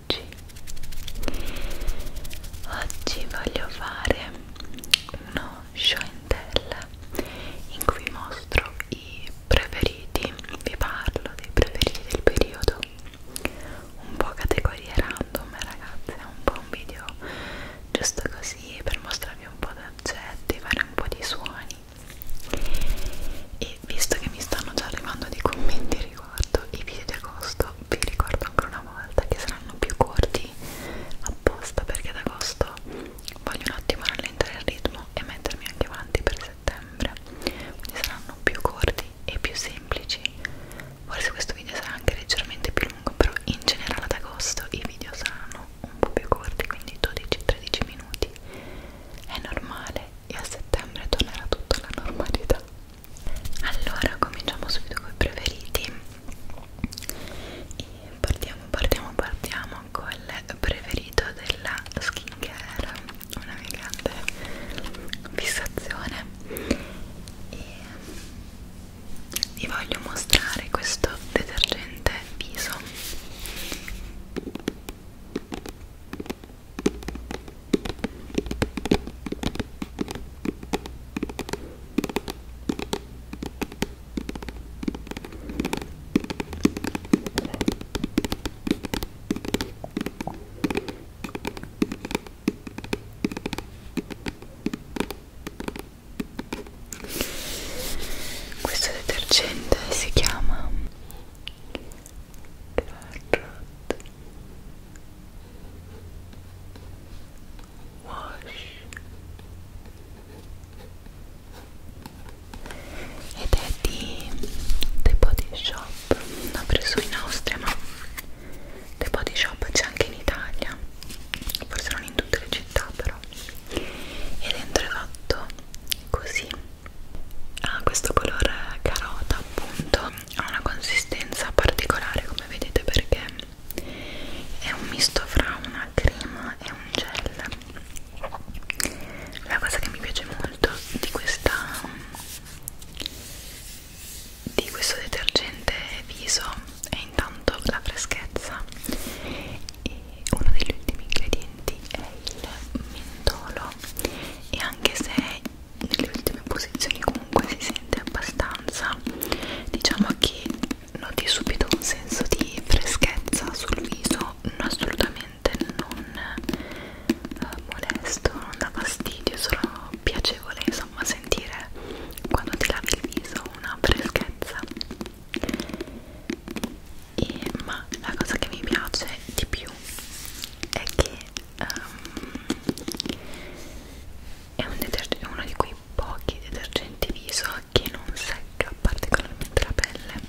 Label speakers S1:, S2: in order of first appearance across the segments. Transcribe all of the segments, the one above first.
S1: oggi oggi voglio fare uno show and tell in cui mostro i preferiti vi parlo dei preferiti del periodo un po' categorie random ragazzi è un po' un video giusto così per mostrarvi un po' di oggetti fare un po' di suoni e visto che mi stanno già arrivando dei commenti riguardo i video di agosto, vi ricordo ancora una volta che saranno più corti apposta perché ad agosto voglio un attimo rallentare il ritmo e mettermi anche avanti per settembre quindi saranno più corti e più semplici forse questo video sarà anche leggermente più lungo però in generale ad agosto i video saranno un po' più corti quindi 12-13 minuti è normale e a settembre tornerà tutta la normalità allora cominciamo subito con i preferiti e partiamo partiamo partiamo col preferito della skincare una mia grande fissazione e vi voglio mostrare questo detergente viso questo detergente si chiama carrot wash ed è di The Body Shop l'ho preso in Austria ma The Body Shop c'è anche in Italia forse non in tutte le città però e dentro è fatto così ha ah, questo colore carota appunto ha una consistenza particolare come vedete perché è un misto fra una crema e un gel la cosa che mi piace molto di questa di questo detergente viso è intanto la freschezza e uno degli ultimi ingredienti ingredienti è il mentolo e anche se nelle ultime posizioni comunque si sente abbastanza diciamo che noti subito un senso di freschezza sul viso assolutamente non eh, molesto non dà fastidio solo piacevole insomma sentire quando ti lavi il viso una freschezza e, ma la cosa che mi piace di più è che um, è, un è uno di quei pochi detergenti viso che non secca particolarmente la pelle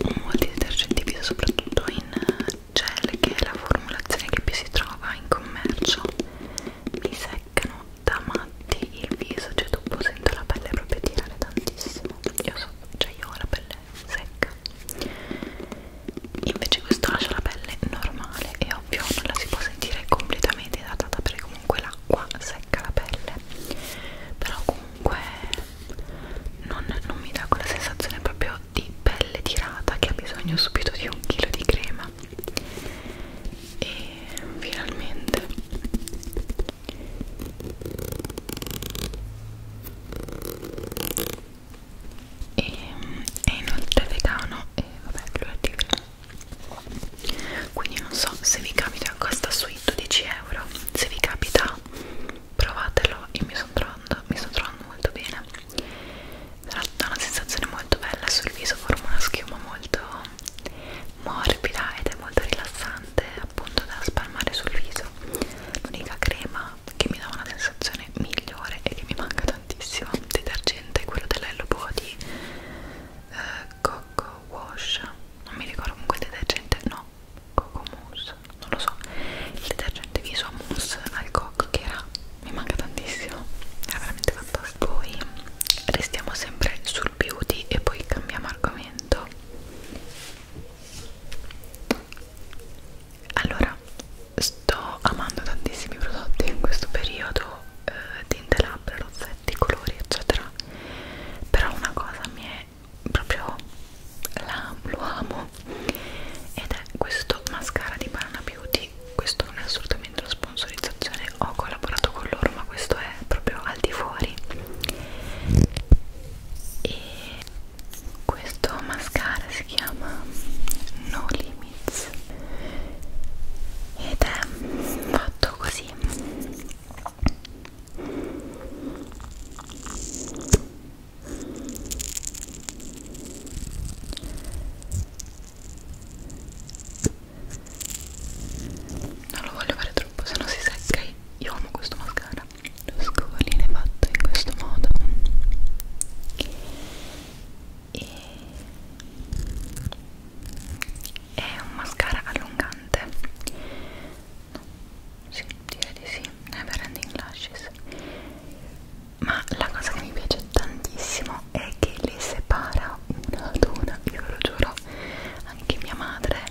S1: um, molti detergenti viso soprattutto in gel che è la formulazione che più si trova in commercio mi seccano da matti il viso cioè dopo sento la pelle proprio tirare tantissimo io so cioè io ho la pelle secca invece questo lascia la pelle normale e ovvio non la si può sentire completamente idratata perché comunque l'acqua secca la pelle però comunque non, non mi dà quella sensazione proprio di pelle tirata che ha bisogno subito di un chilo di crema e finalmente e è inoltre vegano e vabbè lo è tigre quindi non so se vi capita costa sui 12 euro se vi capita provatelo io mi sto trovando mi sto trovando molto bene dà una sensazione molto bella sul viso forma una schiuma molto morbida ed è molto rilassante appunto da spalmare sul viso l'unica crema che mi dà una sensazione migliore e che mi manca tantissimo detergente è quello dell'Hello Body eh, Coco Wash non mi ricordo comunque il detergente no Coco Mousse non lo so il detergente viso mousse al coco che era mi manca tantissimo era veramente fantastico poi restiamo sempre sul beauty e poi cambiamo argomento allora sto amando tantissimi prodotti in questo periodo eh, tinte labbra, rozzetti, colori eccetera però una cosa mi è proprio la, lo amo ed è questo mascara di Banana Beauty questo non è assolutamente una sponsorizzazione ho collaborato con loro ma questo è proprio al di fuori e questo mascara si chiama No Limits ed è fatto così non lo voglio fare troppo se no si secca il io amo questo mascara lo scovolino è fatto in questo modo e è un mascara allungante no, sì, direi di sì never ending lashes ma la cosa che mi piace tantissimo è che le separa una ad una io ve lo giuro anche mia madre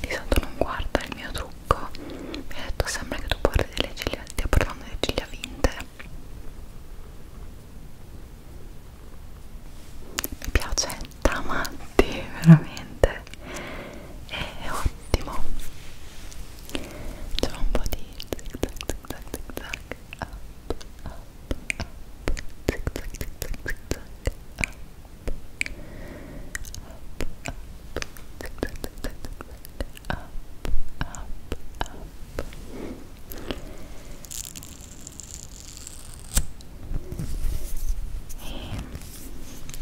S1: di solito non guarda il mio trucco mi ha detto sembra che tu porti delle ciglia stia portando delle ciglia vinte mi piace tramatti veramente è ottimo c'è un po' di zig zag zig zag zig zag up up up zig zag zig zag zig zag up e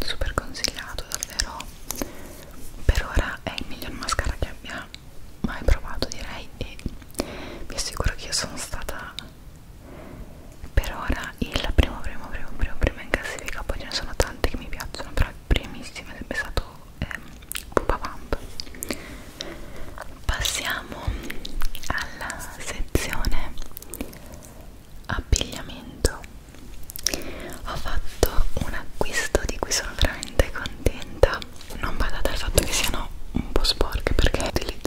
S1: super consigliato davvero per ora è il miglior mascara che abbia mai provato direi e vi assicuro che io sono stata per ora il primo primo primo primo primo in classifica poi ce ne sono tanti che mi piacciono però il primissimo è sempre stato ehm, Pupa eh, passiamo alla sezione abbigliamento ho fatto un acquisto di cui sono veramente contenta non badate al fatto che siano un po' sporche perché utilizzate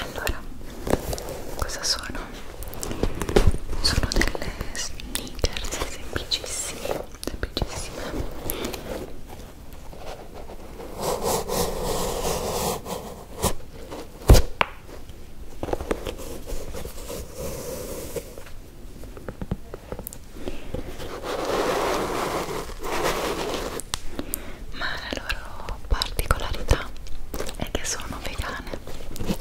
S1: Allora, cosa sono? Sono delle sneakers semplicissime, semplicissime ma la loro particolarità è che sono vegane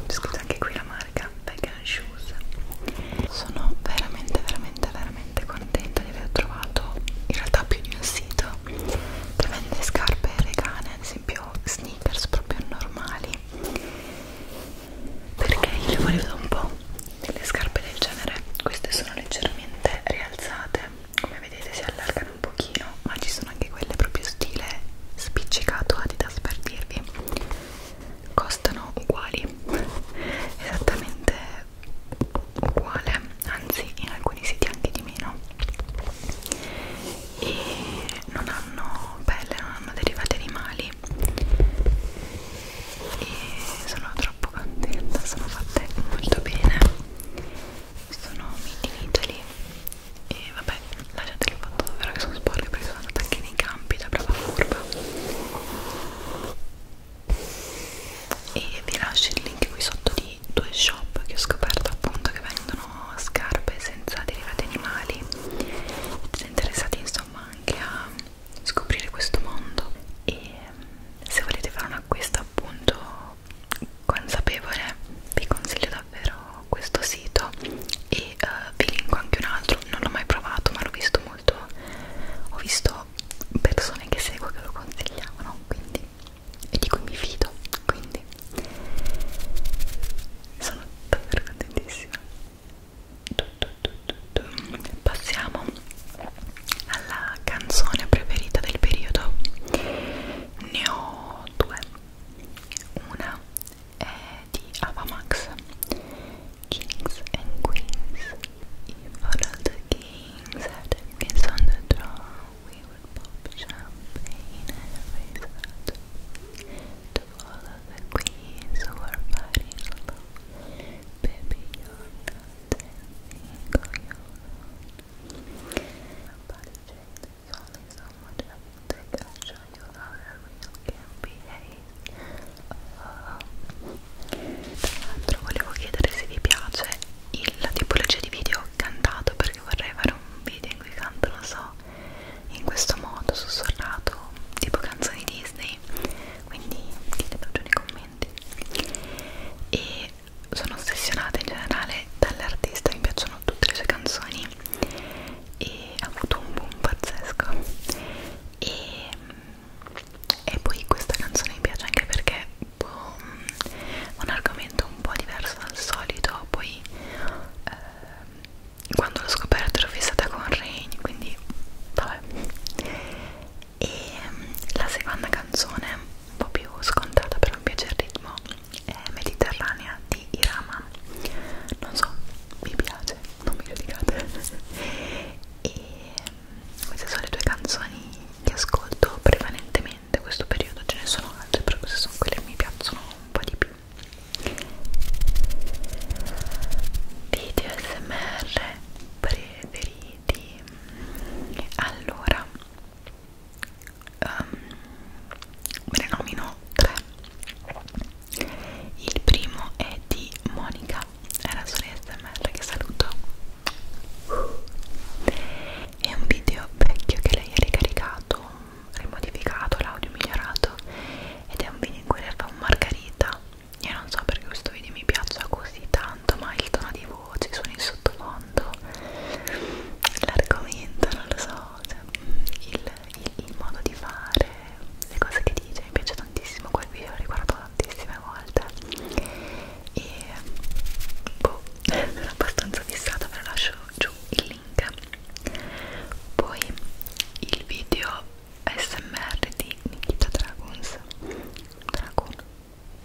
S1: scusa anche qui la marca Vegan Shoes sono veramente veramente veramente contenta di aver trovato in realtà più di un sito che vende scarpe vegane ad esempio proprio sneakers proprio normali perché io le volevo un po' delle scarpe del genere queste sono leggermente rialzate come vedete si allargano un pochino ma ci sono anche quelle proprio stile spiccicato adidas per dirvi costano uguali esattamente uguale anzi in alcuni siti anche di meno e non hanno pelle, non hanno derivati animali e sono troppo contenta, sono fatte molto bene sono made in Italy e vabbè lasciate le foto davvero che sono sporche perché sono andata anche nei campi da brava curva e vi lascio il link qui sotto di due shop che ho scoperto appunto che vendono sono scarpe senza derivati animali siete interessati insomma anche a scoprire questo mondo e mm, se volete fare un acquisto appunto consapevole vi consiglio davvero questo sito e uh, vi linko anche un altro non l'ho mai provato ma l'ho visto molto ho visto persone che seguo che lo consigliavano quindi e di cui mi fido quindi Barbie sono davvero contentissima passiamo alla canzone preferita del periodo ne ho due una è di Avamax Kings and Queens You follow the kings and queens on the throne We would pop champagne in every set To follow the queens who are fighting alone Baby, you're not anything on your own My body shape is only so much I can take I'll show you how the real can behave Oh Tra l'altro volevo chiedere se vi piace il, la tipologia di video cantato perché vorrei fare un video in cui canto, lo so, in questo modo, sussurrato, tipo canzoni Disney, quindi ditemi giù nei commenti. E sono ossessionata in generale dall'artista, mi piacciono tutte le sue canzoni e ha avuto un boom pazzesco. E, e poi questa canzone mi piace anche perché boh, un argomento un po' diverso dal solito, poi eh, quando l'ho scoperto ero fissata con Rain quindi vabbè e mm, la seconda canzone un po' più scontata però mi piace il ritmo è Mediterranea di Irama non so, mi piace, non mi giudicate e mm, queste sono le due canzoni che ascolto prevalentemente questo periodo ce ne sono altre però queste sono quelle che mi piacciono un po' di più video smr preferiti allora um, me ne nomino tre il primo è di Monica è la sua smr che saluto è un video vecchio che lei ha ricaricato rimodificato, l'audio migliorato ed è un vino in cui l'erba è un margherita io non so perché questo video mi piaccia così tanto ma il tono di voce, i suoni in sottofondo l'argomento, non lo so cioè, il, il, il modo di fare le cose che dice mi piace tantissimo quel video, l'ho riguardato tantissime volte e boh, sono abbastanza fissata ve lo lascio giù il link link poi il video smr di Nikita Dragons Dragon,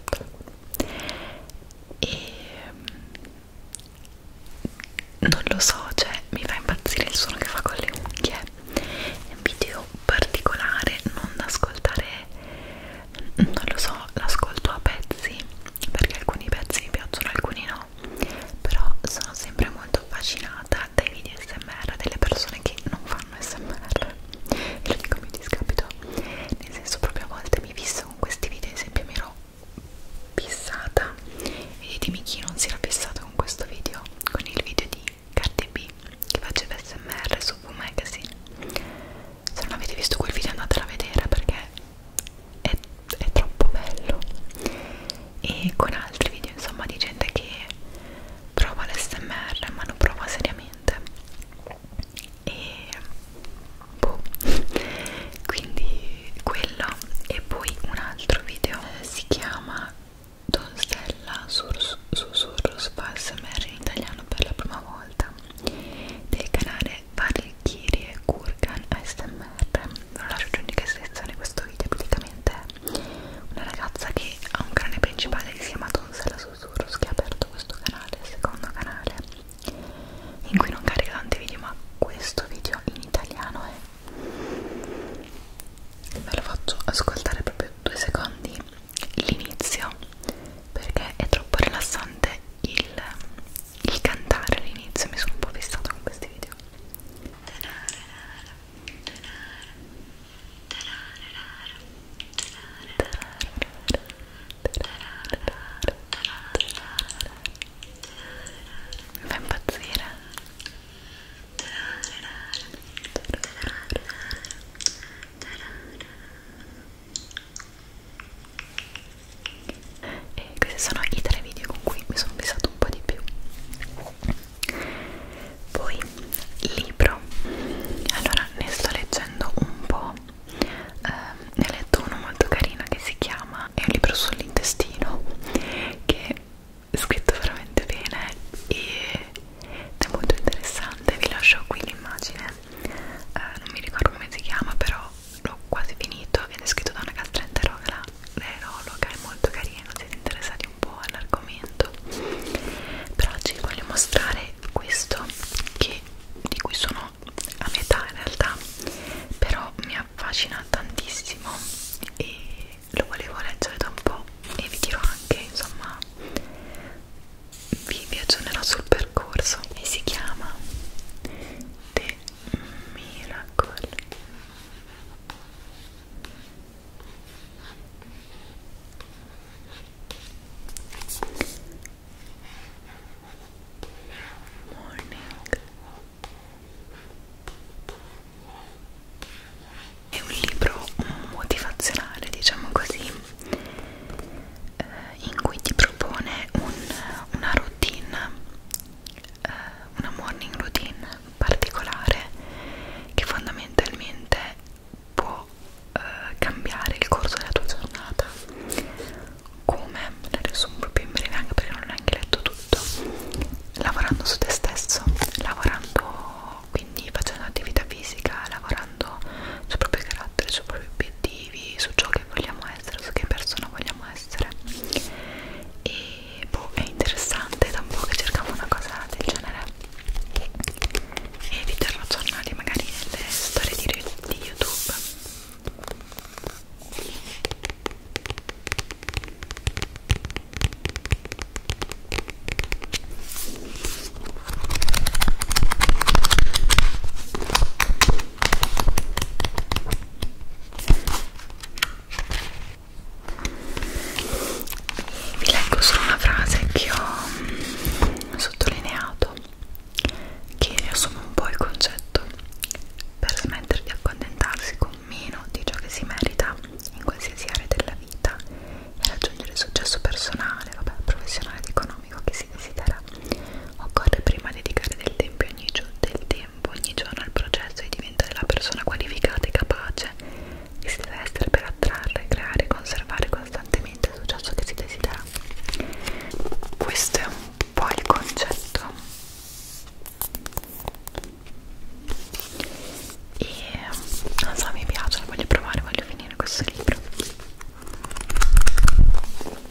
S1: Dragon. e mm, non lo so cioè mi fa impazzire il suono che fa con le unghie è un video particolare non da ascoltare non lo so l'ascolto a pezzi perché alcuni pezzi mi piacciono, alcuni no però sono sempre molto affascinata dai video smr delle persone che non fanno smr ve lo dico a mio discapito nel senso proprio a volte mi fisso con questi video ad esempio mi ero fissata vedetemi chi non si era fissato con questo video con il video di Cardi B che faceva smr su V Magazine se non avete visto quel video andatelo a vedere perché è, è troppo bello e con altri video insomma di gente che prova l'SMR ma lo prova seriamente e boh quindi quello e poi un altro video eh, si chiama Donzella Susurros su, su, su, su, su, su, su, ASMR in italiano per la prima volta del canale le Valkyrie Kurgan ASMR ve lo lascio giù in descrizione questo video praticamente è una ragazza che ha un canale principale che si chiama Donzella Susurros che ha aperto questo canale, il secondo canale in cui non carica tanti video ma questo video in italiano è ve lo faccio ascoltare proprio due secondi l'inizio perché è troppo rilassante il il cantare all'inizio mi sono un po' fissata con questi video mi fa impazzire e questi sono i tre video con cui mi sono pesato un po' di più poi libro allora ne sto leggendo un po' eh, ne ho letto uno molto carino che si chiama è un libro sull'intestino che è scritto veramente bene ed è molto interessante vi lascio qui l'immagine eh, non mi ricordo come si chiama però l'ho quasi finito ed è scritto da una gastroenterologa è molto carino siete interessati un po' all'argomento però oggi vi voglio mostrare questo che, di cui sono a metà in realtà però mi affascina tantissimo e lo volevo leggere da un po' e vi dirò anche insomma vi, vi aggiornerò sul percorso e si chiama The Miracle Morning è un libro motivazionale, diciamo così, eh, in cui ti propone un, una routine eh, una morning routine particolare che fondamentalmente può eh, cambiare il corso della tua giornata come la riassumo proprio in breve anche perché non ho neanche letto tutto lavorando su te stesso lavorando quindi facendo attività fisica lavorando sul proprio carattere sui propri obiettivi su ciò che vogliamo essere su che persona vogliamo potremmo essere e boh è interessante da un po' che cercavo una cosa del genere e vi terrò aggiornati magari nelle storie di, di youtube vi leggo solo una frase che ho sottolineato che riassume un po' il concetto per smettere di accontentarsi con meno di ciò che si merita in qualsiasi area della vita e raggiungere il successo personale, vabbè, professionale ed economico che si desidera occorre prima dedicare del tempo ogni giorno del tempo campo ogni giorno al processo e diventare la persona qualificata e capace che si deve essere per attrarre, creare e conservare costantemente il successo che si desidera. Questo è un po' il concetto. E non so, mi piace, voglio provare, voglio finire questo libro.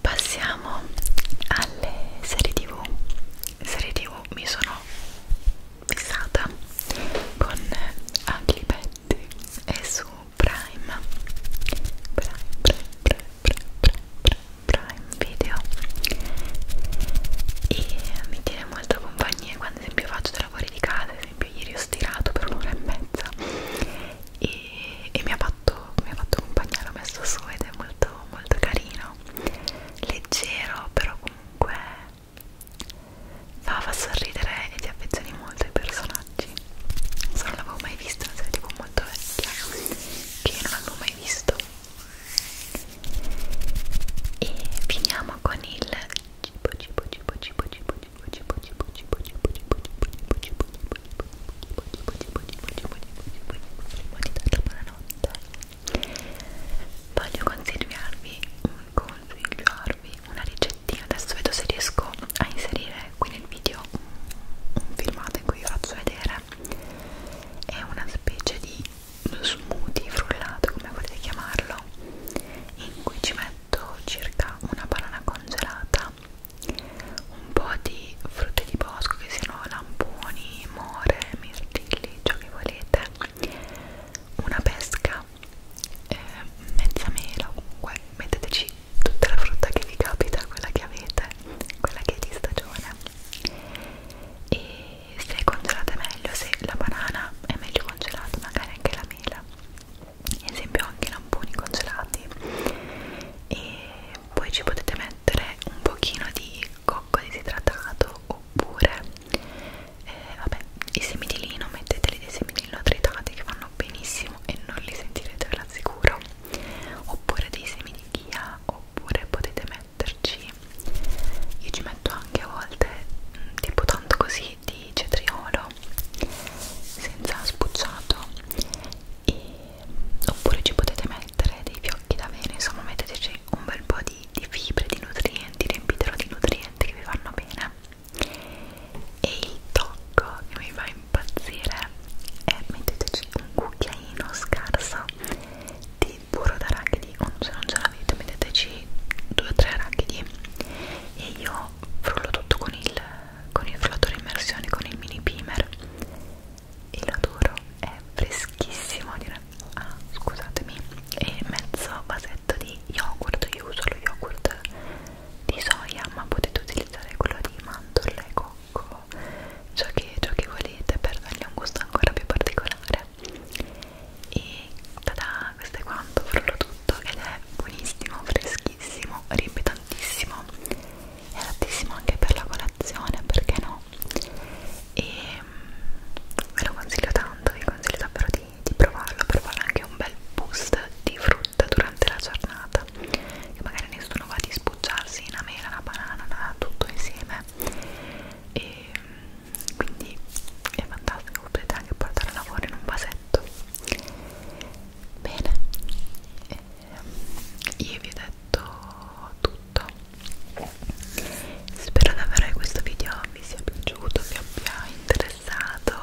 S1: passiamo alle serie tv serie tv mi sono fissata con Ugly Betty e su Prime Prime, Prime, Prime, Prime, Prime, Prime Video e mi tiene molto compagnia quando ad esempio faccio dei lavori di casa ad esempio ieri ho stirato per un'ora e mezza e, e mi, ha fatto, mi ha fatto compagnia, l'ho messo su ed è molto molto molto carino leggero però comunque fa, fa sorridere e ti affezioni molto ai personaggi non so non l'avevo mai visto una serie tipo molto vecchia che non avevo mai visto e finiamo con il cibo cibo cibo cibo cibo cibo cibo cibo cibo cibo cibo cibo cibo cibo cibo darla buonanotte voglio consigliarvi consigliarvi una ricettina adesso vedo se riesco a inserire qui nel video un filmato in cui vi faccio vedere è una specie di smoothie frullato come volete chiamarlo in cui ci metto circa una banana congelata un po' di frutte di bosco che siano lamponi, more, mirtilli, ciò che volete una pesca eh, mezza mela comunque metteteci tutta la frutta che vi capita quella che avete quella che è di stagione e se congelate meglio se la banana è meglio congelata magari anche la mela ad esempio anche i lamponi congelati e poi ci potete mettere un pochino di cocco disidratato oppure eh, vabbè, i semi di lino metteteli dei semi di lino tritati che vanno benissimo e non li sentirete ve l'assicuro oppure dei semi di chia oppure potete metterci io ci metto anche a volte mm, tipo tanto così di cetriolo senza spucciato e oppure ci potete mettere dei fiocchi d'avena insomma metteteci un bel po' di, di fibre, di nutrienti riempitelo di nutrienti che vi vanno bene e il tocco che mi fa impazzire è metteteci un cucchiaino scarso di burro d'arachidi o se non ce l'avete metteteci due o tre arachidi e io frullo tutto con il, con il frullatore immersione con il mini primer il odoro è freschissimo ah, scusatemi e mezzo vasetto di yogurt io uso lo yogurt di soia ma potete utilizzare quello di mandorle, cocco ciò che, ciò che volete per dargli un gusto ancora più particolare e tada questo è quanto frullo tutto ed è buonissimo freschissimo riempie tantissimo è adattissimo anche per la colazione perché no no e ve mm, lo consiglio tanto vi consiglio davvero di, di provarlo per fare anche un bel boost di frutta durante la giornata che magari nessuno va di spucciarsi una mela, una banana, una, tutto insieme e mm, quindi è fantastico potete anche portare a lavoro in un vasetto bene e io vi ho detto tutto spero davvero che questo video vi sia piaciuto vi abbia interessato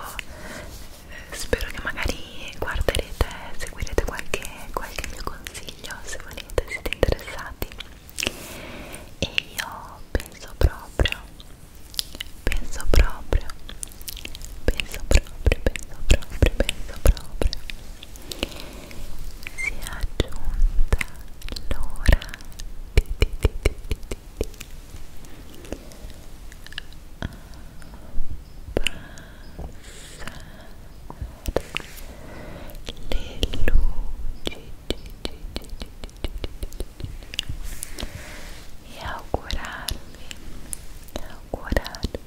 S1: eh, spero che magari guarderete seguirete qualche, qualche mio consiglio se volete siete interessati e io penso proprio penso proprio penso proprio penso proprio penso proprio si è aggiunta l'ora di, di, di, di, di, di abbassare le luci e augurarvi augurarvi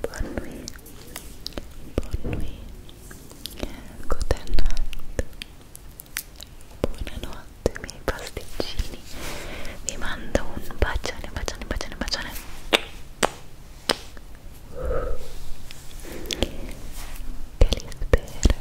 S1: Buon nuit, buon nuit, good night, buonanotte miei pasticcini, vi mando un bacione, bacione, bacione, bacione che li spero